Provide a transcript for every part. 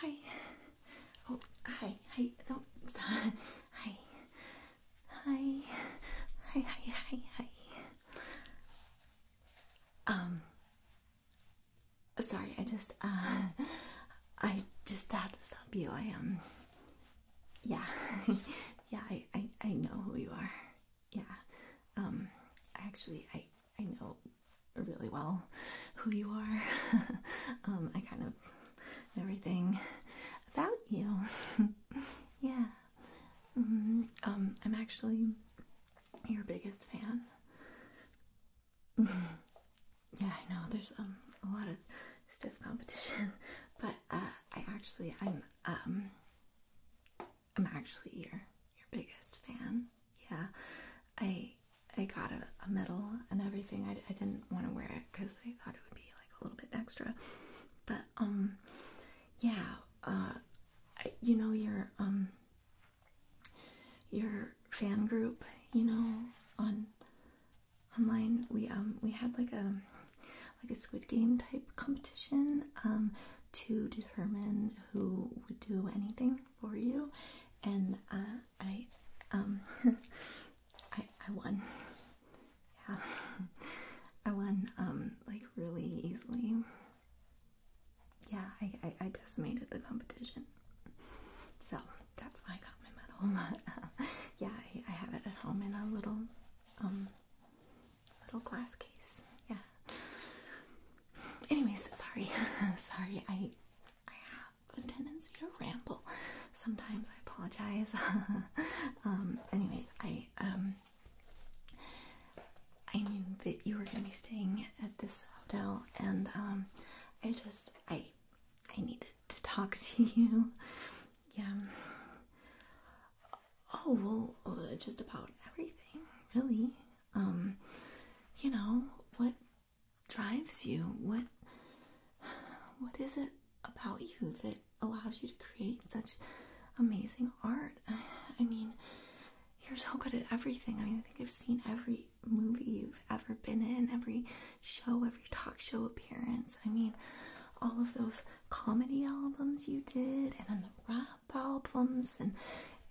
Hi. Oh, hi. Hi. Don't stop. Hi. Hi. Hi. Hi. Hi. Hi. Um. Sorry, I just uh, I just had to stop you. I am. Um, yeah. yeah. I, I I know who you are. Yeah. Um. Actually, I I know really well who you are. um, I kind of everything about you. yeah. Mm-hmm. Um, I'm actually your biggest fan. Yeah, I know. There's um a lot of stiff competition, but uh, I actually I'm um I'm actually your your biggest fan yeah, I I got a, medal and everything. I, I didn't want to wear it because I thought it would be like a little bit extra, but um, yeah, uh, you know your um your fan group, you know on online we um we had like a like a Squid Game type competition um to determine who would do anything for you, and uh, I, um, I, I won. Yeah, I won um, like really easily. Yeah, I, I, decimated the competition. So that's why I got my medal. yeah, I, I have it at home in a little, um, little glass case. Yeah. Anyways, sorry, sorry. I I have a tendency to ramble. Sometimes I apologize. Um, anyways, I um, I knew that you were gonna be staying at this hotel, and um, I just I I needed to talk to you. Yeah. Oh well, uh, just about everything, really. Um, you know what drives you? What what is it about you that allows you to create such amazing art? I mean, you're so good at everything. I mean, I think I've seen every movie you've ever been in, every show, every talk show appearance. I mean, all of those comedy albums you did, and then the rap albums, and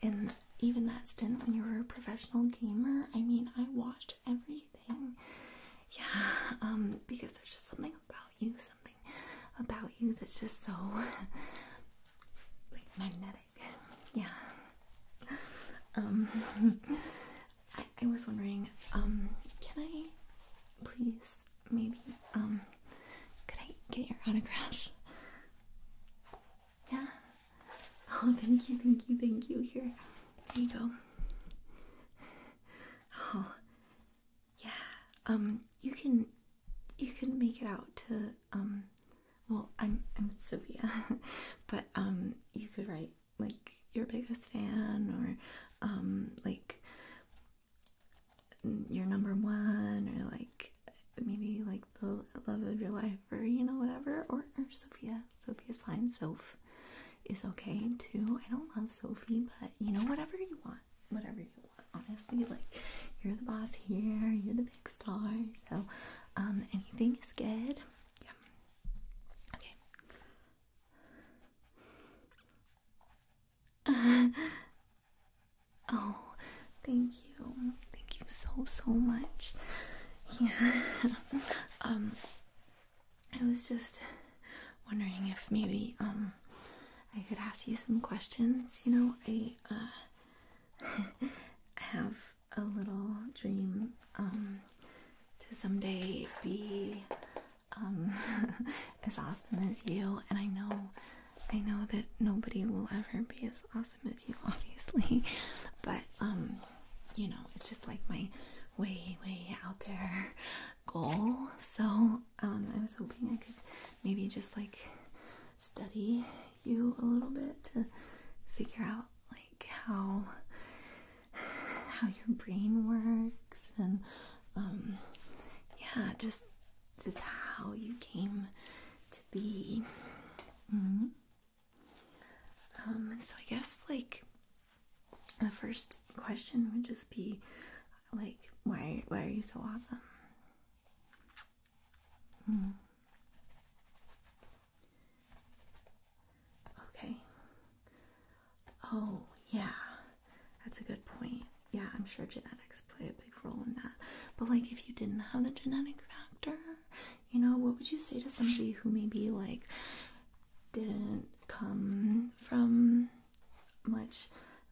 and even that stint when you were a professional gamer, I mean, I watched everything. Yeah, um, because there's just something about you, something about you that's just so magnetic. Yeah. Um, I was wondering, um, can I please maybe, um, could I get your autograph? Yeah. Oh, thank you, thank you, thank you. Here, here you go. Oh, yeah. Um, you can, you can make it out to um, well, I'm I'm Sophia, but um, you could write like your biggest fan or um, like your number one or like maybe like the love of your life or you know whatever or, or Sophia. Sophia's fine. Soph is okay too. I don't love Sophie, but you know whatever you want, whatever you want. Honestly, like you're the boss here. You're the big star. So um, anything is good. Yeah. Okay. oh, thank Thank you. Thank you so so much. Yeah. um I was just wondering if maybe um I could ask you some questions. You know, I uh have a little dream um to someday be um as awesome as you and I know I know that nobody will ever be as awesome awesome you, obviously. But um, you know, it's just like my way, way out there goal. So um, I was hoping I could maybe just like study you a little bit to figure out like how how your brain works and um yeah just just how you came to be mm-hmm. Um, so I guess like the first question would just be like why why are you so awesome? Hmm. Okay. Oh, yeah. That's a good point. Yeah, I'm sure genetics play a big role in that. But like if you didn't have the genetic factor, you know, what would you say to somebody who maybe like didn't come from much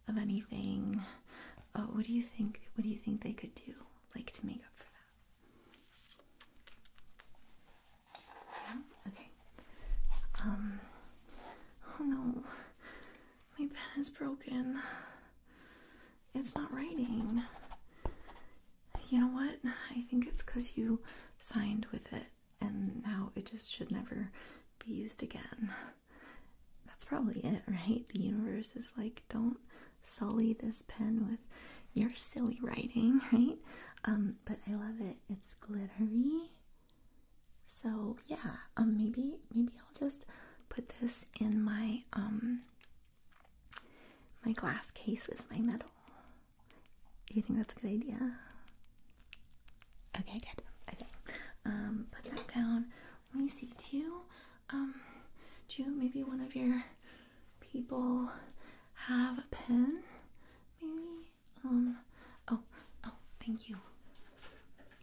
of anything? Uh, what do you think? What do you think they could do, like, to make up for that? Okay. Um. Oh no, my pen is broken. It's not writing. You know what? I think it's because you signed with it and now it just should never be used again. That's probably it, right? The universe is like, don't sully this pen with your silly writing, right? Um, but I love it. It's glittery. So yeah, um, maybe maybe I'll just put this in my um, my glass case with my metal. Do you think that's a good idea? Okay, good. Okay. Um, put that down. Let me see. Do um, do you maybe one of your people have a pen? Maybe. Um. Oh. Oh. Thank you.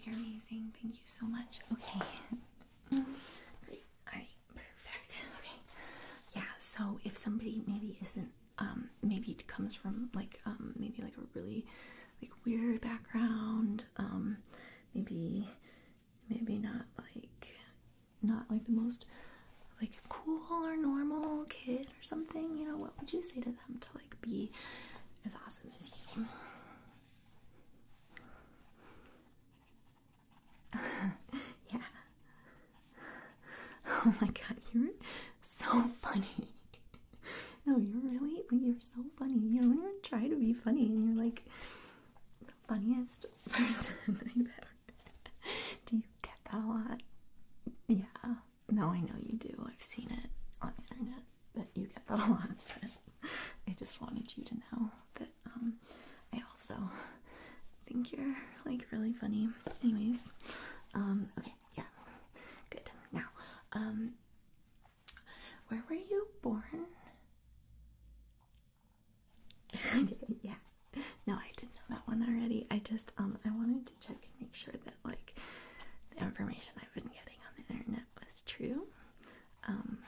You're amazing. Thank you so much. Okay. Great. All right perfect. Okay. Yeah, so if somebody maybe isn't um maybe comes from like um maybe like a really like weird background, um maybe maybe not like not like the most like cool or normal kid or something, you know, what would you say to them to like be as awesome as you? yeah. Oh my god, you're so funny. no, you're really, like, you're so funny. You don't even try to be funny, and you're like the funniest person I've ever. do you get that a lot? Yeah. No, I know you do. I've seen it on the internet that you get that a lot, but I just wanted you to know that um, I also think you're like really funny. Anyways, um, okay, yeah, good. Now, um, where were you born? yeah. No, I didn't know that one already. I just um I wanted to check and make sure that like the information I've been getting on the internet was true. Um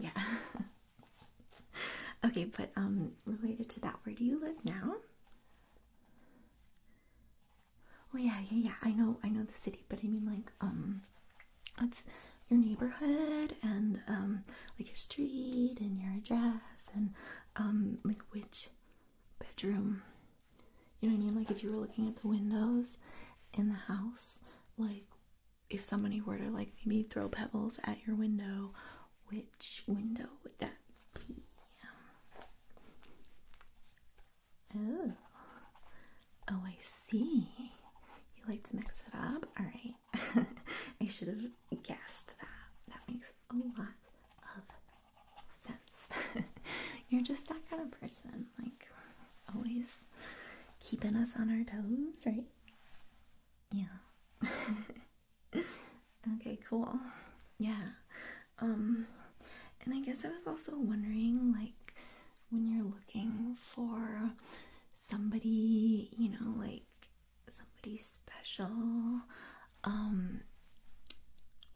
yeah. okay, but um, related to that, where do you live now? Oh yeah, yeah, yeah. I know, I know the city, but I mean like um, what's your neighborhood and um, like your street and your address and um, like which bedroom? You know what I mean? Like if you were looking at the windows in the house, like if somebody were to like maybe throw pebbles at your window, which window would that be? Oh, oh, I see. You like to mix it up? All right. I should have guessed that. That makes a lot of sense. You're just that kind of person, like always keeping us on our toes, right? Yeah. okay, cool. Yeah. Um and I guess I was also wondering like when you're looking for somebody, you know, like somebody special, um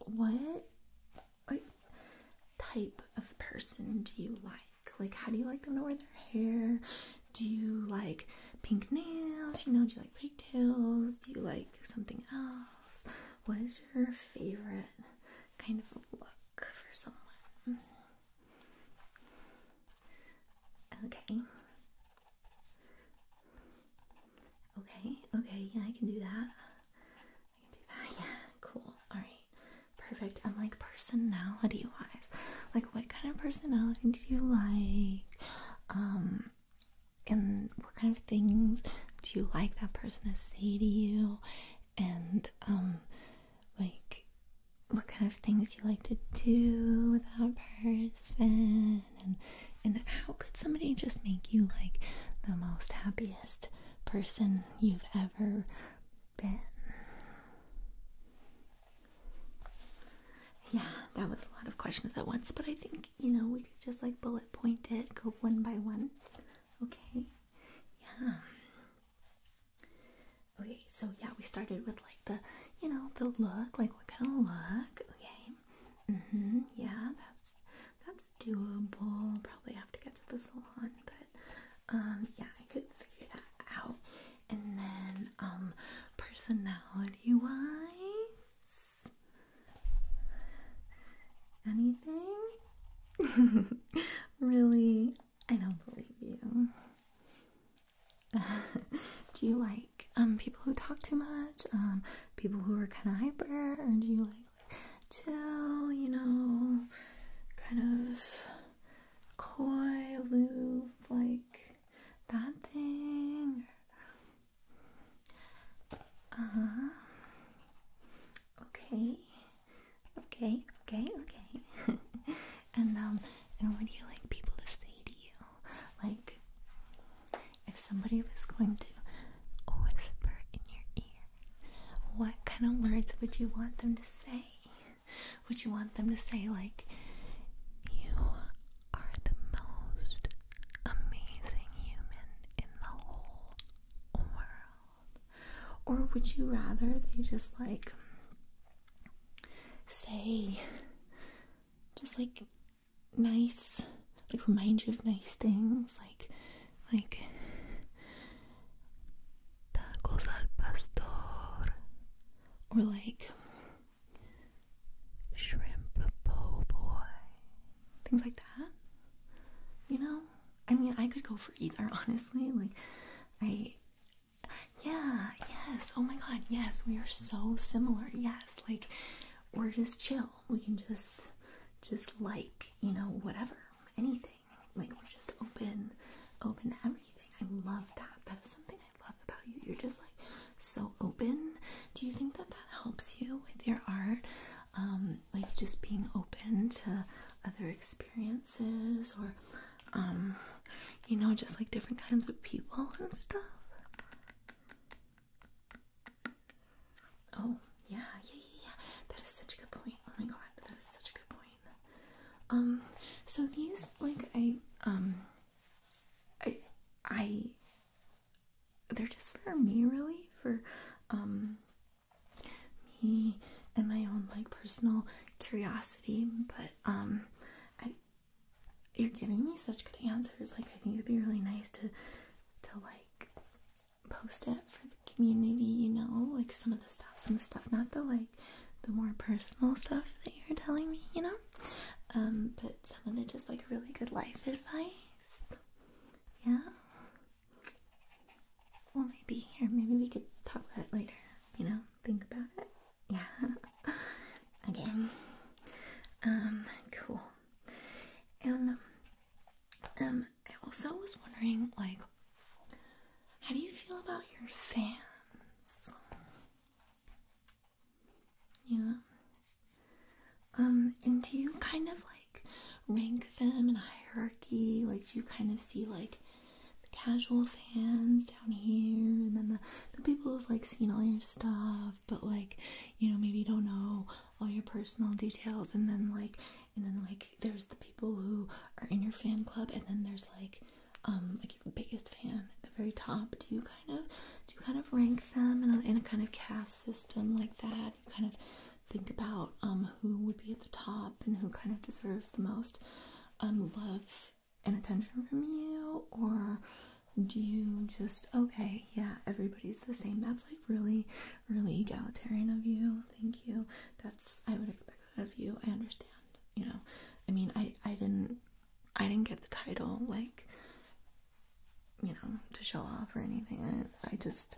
what like type of person do you like? Like how do you like them to wear their hair? Do you like pink nails? You know, do you like pigtails? Do you like something else? What is your favorite kind of look for someone? Okay. Okay, okay, yeah, I can do that. I can do that, yeah, cool. Alright, perfect. And like personality like what kind of personality do you like um, and what kind of things do you like that person to say to you and um, like what kind of things you like to do with that person and and how could somebody just make you like the most happiest person you've ever been yeah, that was a lot of questions at once, but I think, you know, we could just like bullet point it, go one by one. Okay. Yeah. Okay, so yeah, we started with like the, you know, the look, like what kind of look? Okay. hmm Yeah, that's that's doable. Probably have to get to the salon, but um yeah, I could figure that out. And then, um, personality wise, anything? really? I don't believe you. do you like um people who talk too much? Um, people who are kind of hyper, or do you like? chill, you know, kind of coy, aloof, like that thing. Uh -huh. Okay, okay, okay, okay. and um, and what do you like people to say to you? Like, if somebody was going to whisper in your ear, what kind of words would you want them to say? would you want them to say like you are the most amazing human in the whole world? Or would you rather they just like say just like nice like remind you of nice things like like tacos al pastor or like shrimp po' boy, things like that. You know, I mean, I could go for either, honestly. Like, I, yeah, yes, oh my god, yes, we are so similar. Yes, like, we're just chill. We can just, just like, you know, whatever, anything. Like, we're just open, open everything. I love that. That is something love about you. You're just like so open. Do you think that that helps you with your art? Um, like just being open to other experiences or, um, you know, just like different kinds of people and stuff. Oh, yeah, yeah, yeah, yeah. That is such a good point. Oh my god, that is such a good point. Um, so these, like, I, um, I, I, they're just for me, really, for um, me and my own like personal curiosity. But um, I, you're giving me such good answers. Like, I think it'd be really nice to, to like, post it for the community. You know, like some of the stuff, some of the stuff, not the like, the more personal stuff that you're telling me. You know. Um, but some of it is like really good life advice. Yeah. Well, maybe here, maybe we could talk about it later. You know, think about it. Yeah. okay. Um. Cool. And um, I also was wondering, like, how do you feel about your fans? Yeah. Um, and do you kind of like rank them in a hierarchy? Like, do you kind of see like the casual fans down here and then the, the people who've like seen all your stuff but like, you know, maybe don't know all your personal details and then like, and then like there's the people who are in your fan club and then there's like, um, like biggest fan at the very top, do you kind of do you kind of rank them in a, kind of caste system like that? You kind of think about um, who would be at the top and who kind of deserves the most um, love and attention from you, or do you just okay, yeah, everybody's the same? That's like really, really egalitarian of you. Thank you. That's I would expect that of you. I understand. You know, I mean, I I didn't I didn't get the title, like, you know, to show off or anything. I, just,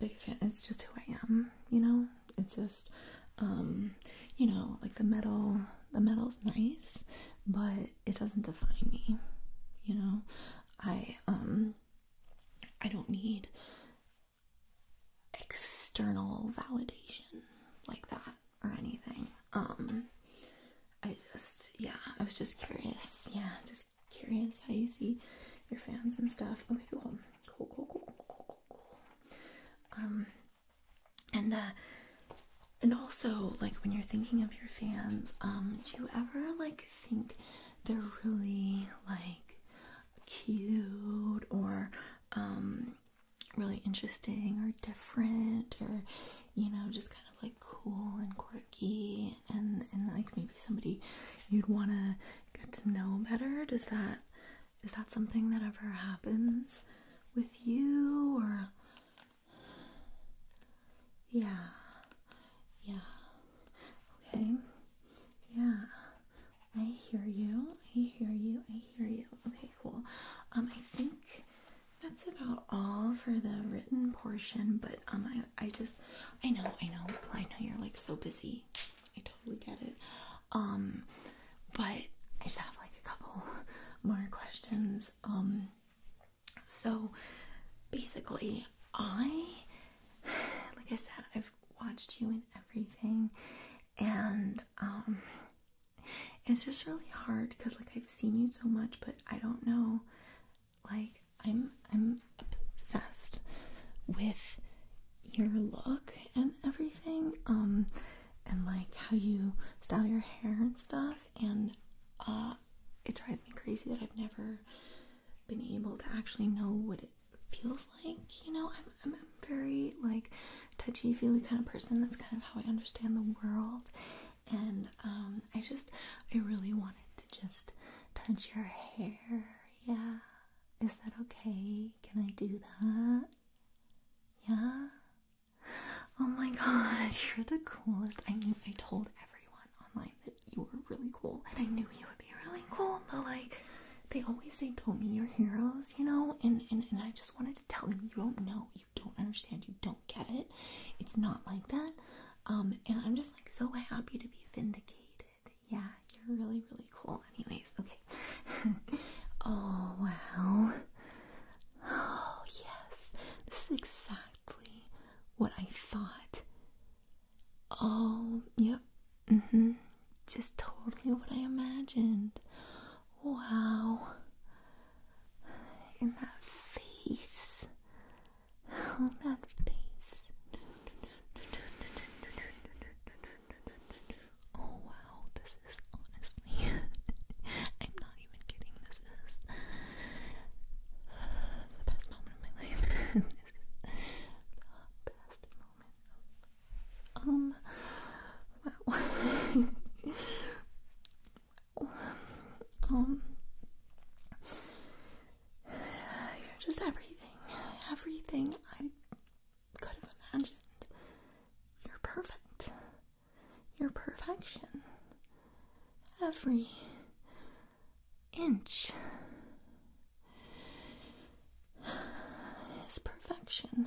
it's just who I am, you know? It's just, um, you know, like the metal, the metal's nice, but it doesn't define me, you know? I, um, I don't need external validation like that or anything. Um, I just, yeah, I was just curious. Yeah, just curious how you see your fans and stuff. Okay, cool, cool, cool, cool, cool, cool, cool. Um, and uh, and also like when you're thinking of your fans, um, do you ever like think they're really like cute or um really interesting or different or you know just kind of like cool and quirky and and like maybe somebody you'd want to get to know better does that is that something that ever happens with you or yeah yeah okay yeah I hear you I hear you I hear you okay cool um I think that's about all for the written portion, but um, I, I just, I know, I know, I know you're like so busy. I totally get it. Um, but I just have like a couple more questions. Um, so basically, I, like I said, I've watched you and everything, and um, it's just really hard because like I've seen you so much, but I don't know. Like I'm I'm obsessed with your look and everything, um, and like how you style your hair and stuff, and uh, it drives me crazy that I've never been able to actually know what it feels like. You know, I'm I'm, very like touchy feely kind of person. That's kind of how I understand the world, and um, I just I really wanted to just touch your hair. Yeah, is that okay? Can I do that? Yeah. Oh my god, you're the coolest. I knew I told everyone online that you were really cool, and I knew you would be really cool, but like they always say don't meet your heroes, you know, and, and, and I just wanted tell them you don't know, you don't understand, you don't get it. It's not like that. Um, and I'm just like so happy to be vindicated. Yeah, you're really, really cool. Anyways, okay. oh wow. Oh yes. This is exactly what I thought. Oh, yep. Mm-hmm. Just totally what I imagined. Wow in that face. Oh, that face. Oh, wow, this is honestly, I'm not even kidding, this is the best moment of my life. this is the best moment um, wow. Um, you're just everything, everything I could have imagined. You're perfect. You're perfection. Every inch is perfection.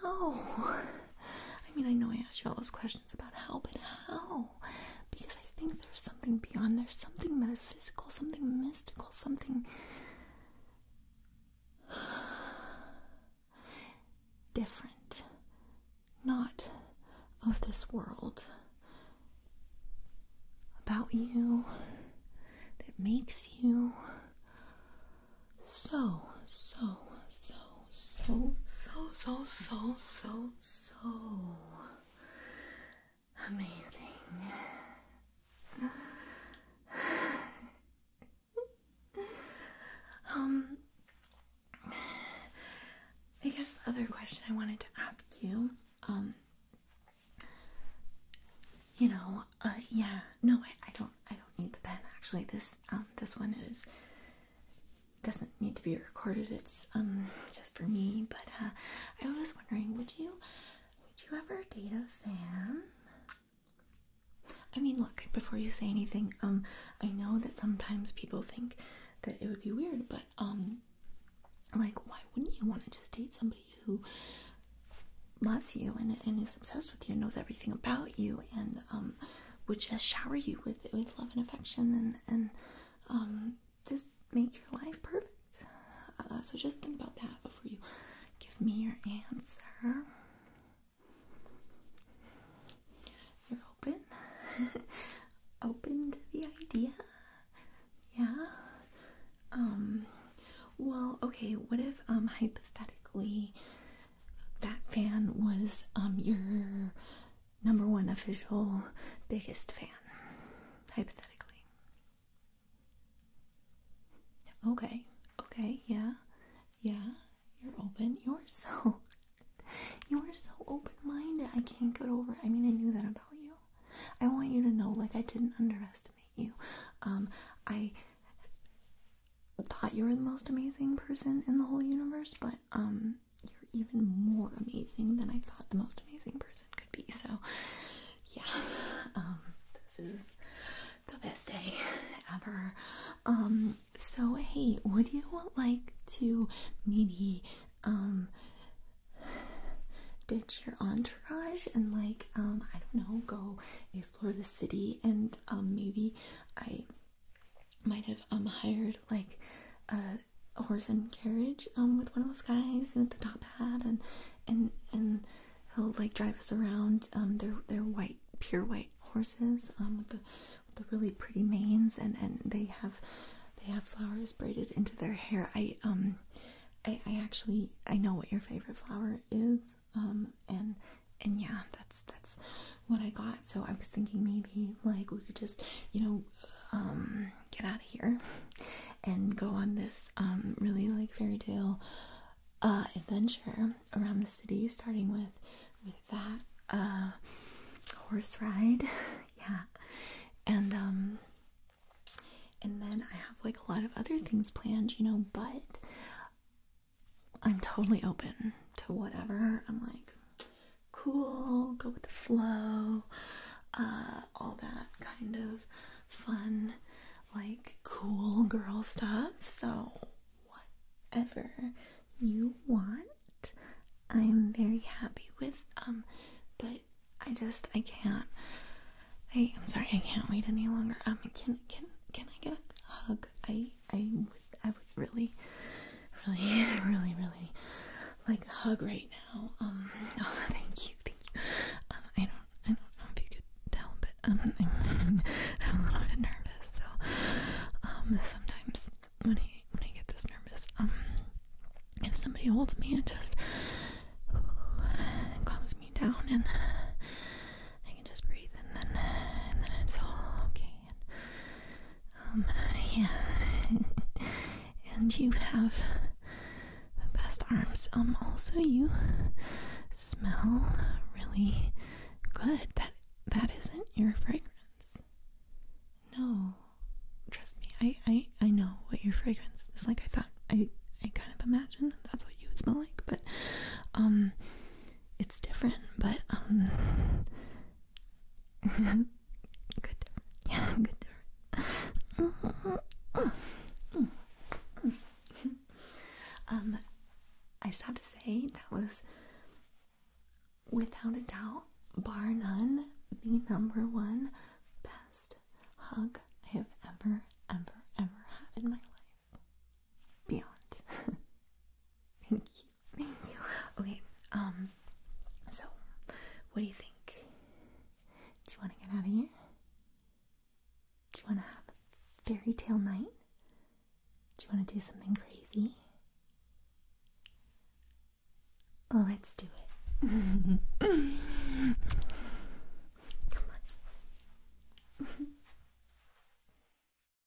How? I mean, I know I asked you all those questions about how, but how? Because I think there's something beyond, there's something metaphysical, something mystical, something different. Not of this world. About you, that makes you so, so, so, so, so, so, so, so, so amazing. um, I guess the other question I wanted to ask you, um, you know, uh, yeah, no, I, I don't I don't need the pen actually. This um, this one is doesn't need to be recorded. It's um, just for me. But uh, I was wondering, would you would you ever date a fan? I mean, look before you say anything. Um, I know that sometimes people think that it would be weird, but um, like why wouldn't you want to just date somebody who loves you and and is obsessed with you, and knows everything about you, and um would just shower you with with love and affection and and um, just make your life perfect. Uh, so just think about that before you give me your answer. You're open, open the idea. Yeah. Um. Well, okay. What if um hypothetically that fan was um, your number one official biggest fan hypothetically okay okay yeah yeah you're open you're so you're so open-minded i can't get over i mean i knew that about you i want you to know like i didn't underestimate you um i thought you were the most amazing person in the whole universe, but um you're even more amazing than I thought the most amazing person could be. So yeah. Um this is the best day ever. Um so hey, would you like to maybe um ditch your entourage and like um I don't know, go explore the city and um maybe I might have um hired like a, horse and carriage um with one of those guys and the top hat and and and he'll like drive us around um they're they're white pure white horses um with the with the really pretty manes and and they have they have flowers braided into their hair i um I, I actually I know what your favorite flower is um, and and yeah, that's that's what I got. So I was thinking maybe like we could just you know um, get out of here and go on this um, really like fairy tale uh, adventure around the city, starting with with that uh, horse ride, yeah, and um, and then I have like a lot of other things planned, you know, but. I'm totally open to whatever. I'm like, cool, go with the flow, uh, all that kind of fun, like cool girl stuff. So, whatever you want, I'm very happy with. Um, but I just I can't. I I'm sorry, I can't wait any longer. Um, can can can I get a hug? I I would I would really, really, really, really like a hug right now. Um, oh, thank you, thank you. Um, I don't, I don't know if you could tell, but um, I'm, a little bit nervous. So, um, sometimes when I when I get this nervous, um, if somebody holds me and just calms me down and I can just breathe and then and then it's all okay. And, um, yeah. and you have the best arms. Um, also you smell really good. That that isn't your fragrance. No. Trust me, I I I know what your fragrance is like. I thought I I kind of imagined that that's what you would smell like, but um it's different, but um, good, yeah, good. um, I just have to say that was without a doubt, bar none, the number one best hug I have ever, ever, ever had in my life. Beyond. Thank you. Thank you. Okay, um, so what do you think? Do you want to get out of here? Do you want to have a fairy tale night? Do you want to do something crazy? Let's do it. Come on.